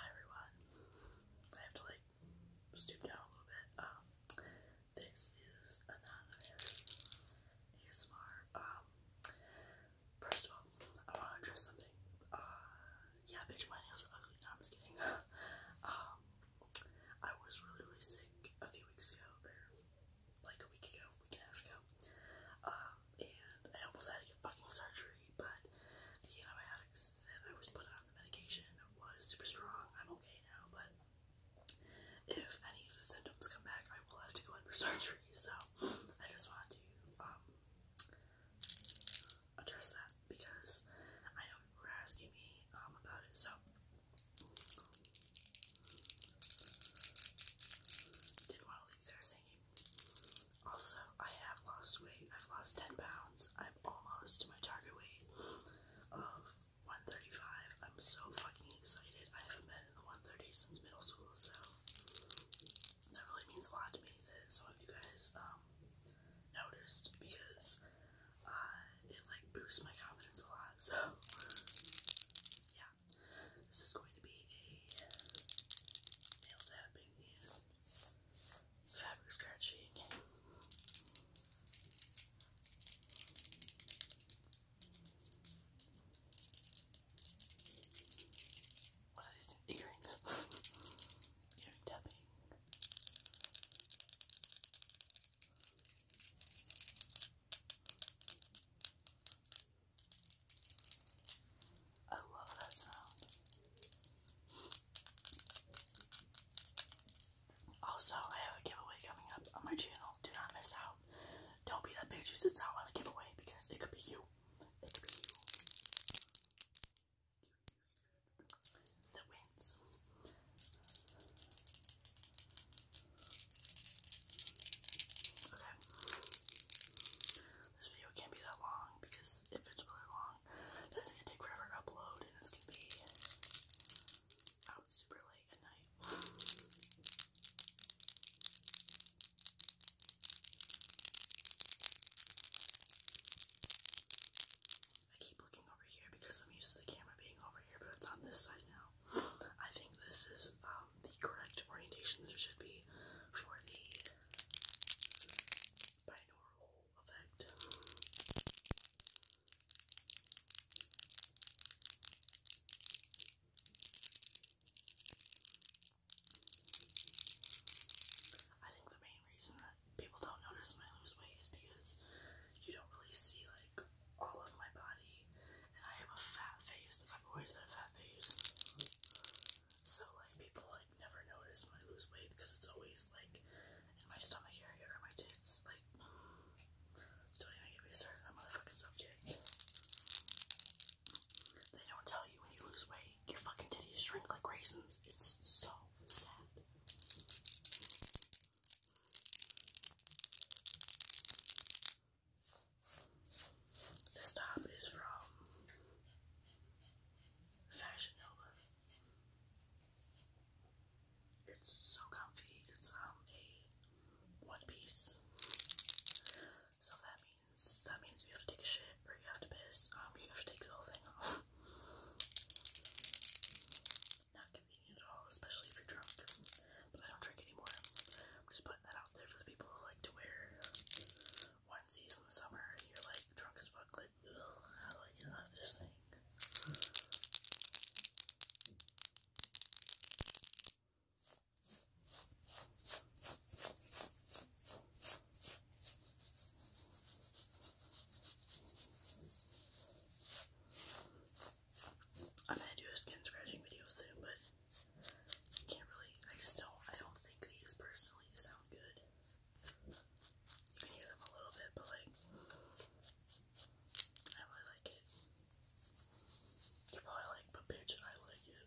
Hi everyone. I have to like stoop down a little bit. Um, this is anonymous ASMR. Um first of all, I wanna address something. Uh, yeah, bitch my nails are ugly, no just kidding. Um, I was really really sick a few weeks ago like a week ago, week and a half ago. Um, and I almost had to get fucking surgery, but the antibiotics that I was put on the medication was super strong. I'm okay now, but if any of the symptoms come back, I will have to go under surgery. So I just want to um, address that because I know you were asking me um, about it. So didn't want to leave you guys hanging also, I have lost weight. I've lost 10 pounds. I'm almost to my target weight of 135. I'm so fucking excited. I haven't been in the 130s since middle school, so that really means a lot to me that some of you guys um, noticed because uh, it like boosts my confidence a lot. So, yeah, this is going to be a nail tapping and fabric scratching. What are these earrings? Earring tapping. I love that sound. Also, I have a giveaway coming up on my channel. Do not miss out. Don't be that bitch who sits out on a giveaway because it could be you. It could be you that wins. Okay. This video can't be that long because if it's really long, then it's gonna take forever to upload and it's gonna be out super late at night. I keep looking over here because I'm used to the camera being over here, but it's on this side now. I think this is um, the correct orientation there should be for the binaural effect. I think the main reason that people don't notice when I lose weight is because you don't really see like all of my body, and I have a fat face. Like I've always had a fat face, so like people like never notice my lose weight because it's always like in my stomach area or my tits. Like, don't even get me started on that motherfucking subject. They don't tell you when you lose weight, your fucking titties shrink like raisins. It's so sad. The top is from Fashion Nova. It's so comfy. It's um a one piece. So that means that means you have to take a shit or you have to piss. Um, you have to take the whole thing off. eating especially if you're drunk. But I don't drink anymore. I'm just putting that out there for the people who like to wear onesies in the summer and you're like drunk as fuck, like, I get this thing? I'm gonna do a skin scratching video soon, but you can't really. I just don't. I don't think these personally sound good. You can hear them a little bit, but like, I really like it. you probably like, but bitch, I like it.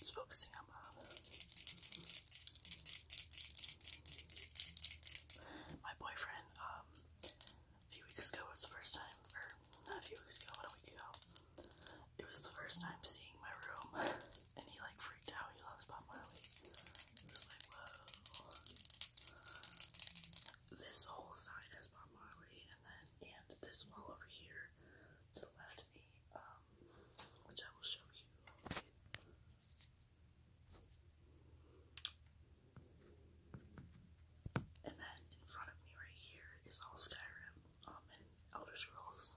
It's focusing on Bob. My boyfriend, um, a few weeks ago was the first time, or not a few weeks ago, but a week ago, it was the first time seeing my room. And he like freaked out. He loves Bob Marley. He like, whoa. This whole side has Bob Marley, and then and this wall over here to the left of me, um, which I will show you. And then in front of me right here is all Skyrim um, and Elder Scrolls.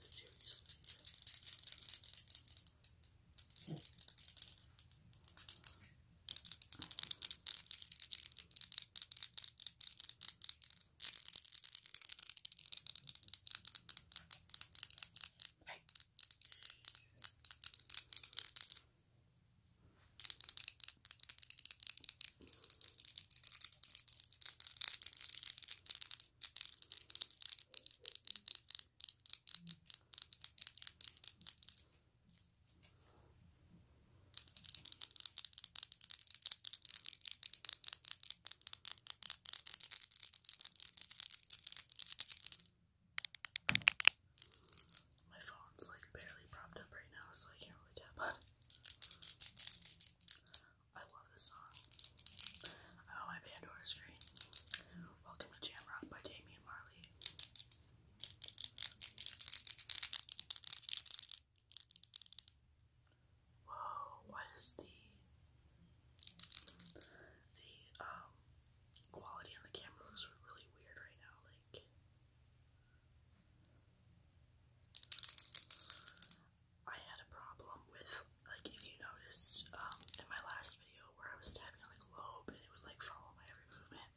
seriously. Right. My phone's like barely propped up right now, so I can't really tap on it. I love this song. i my Pandora screen. Welcome to Jamrock by Damian Marley. Whoa, what is the the um quality on the camera looks really weird right now, like I had a problem with, like, if you notice um, in my last video where I was tapping on the globe and it was like, following my every movement,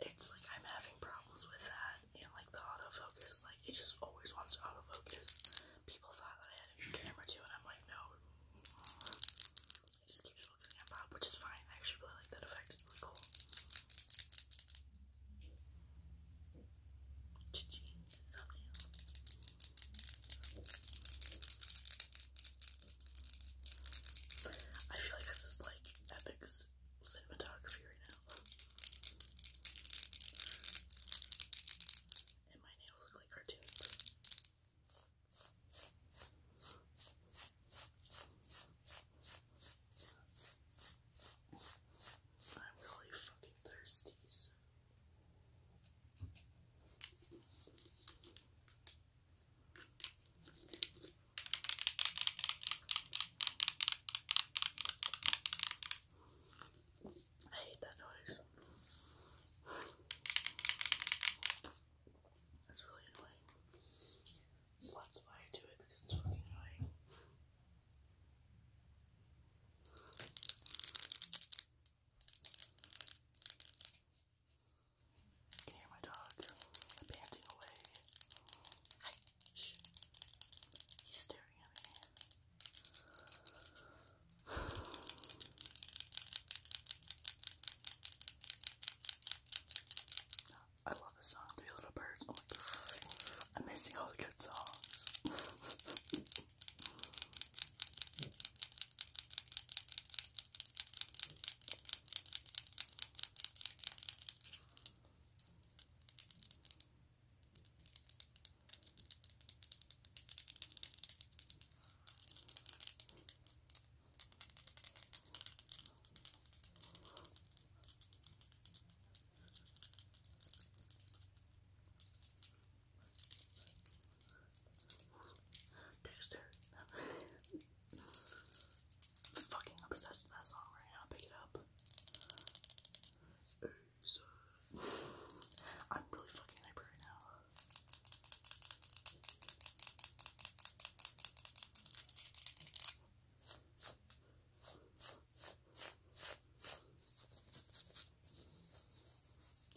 it's, like, I'm having problems with that, and, like, the autofocus, like, it just always wants to autofocus. People thought that I had a new camera, too, and I'm like, no, it just keeps focusing on Bob, which is fine. I actually really like that effect, it's really cool. I feel like this is like epic cinematography right now. And my nails look like cartoons. I'm really fucking thirsty, I hate that noise. That's really annoying. So that's why I do it because it's fucking annoying. You can hear my dog panting away. Hi, shh. He's staring at me. I love the song Three Little Birds. I'm missing all the good songs. Dexter. I'm fucking obsessed with that song right now. Pick it up. I'm really fucking hyper right now.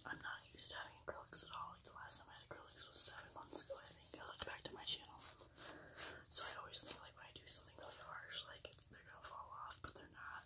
I'm not used to having acrylics at all. Like the last time I had acrylics was seven months ago, I think. I looked back to my channel. So I always think like when I do something really harsh, like they're gonna fall off, but they're not.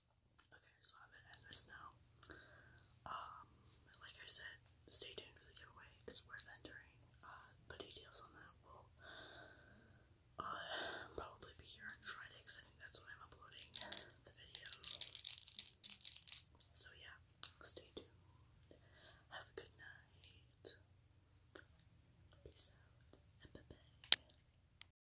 Okay, so I'm gonna end this now. Um, like I said, stay tuned for the giveaway. It's worth entering. Uh, details on that will uh, probably be here on Friday I think that's when I'm uploading the video. So yeah, stay tuned. Have a good night. Peace out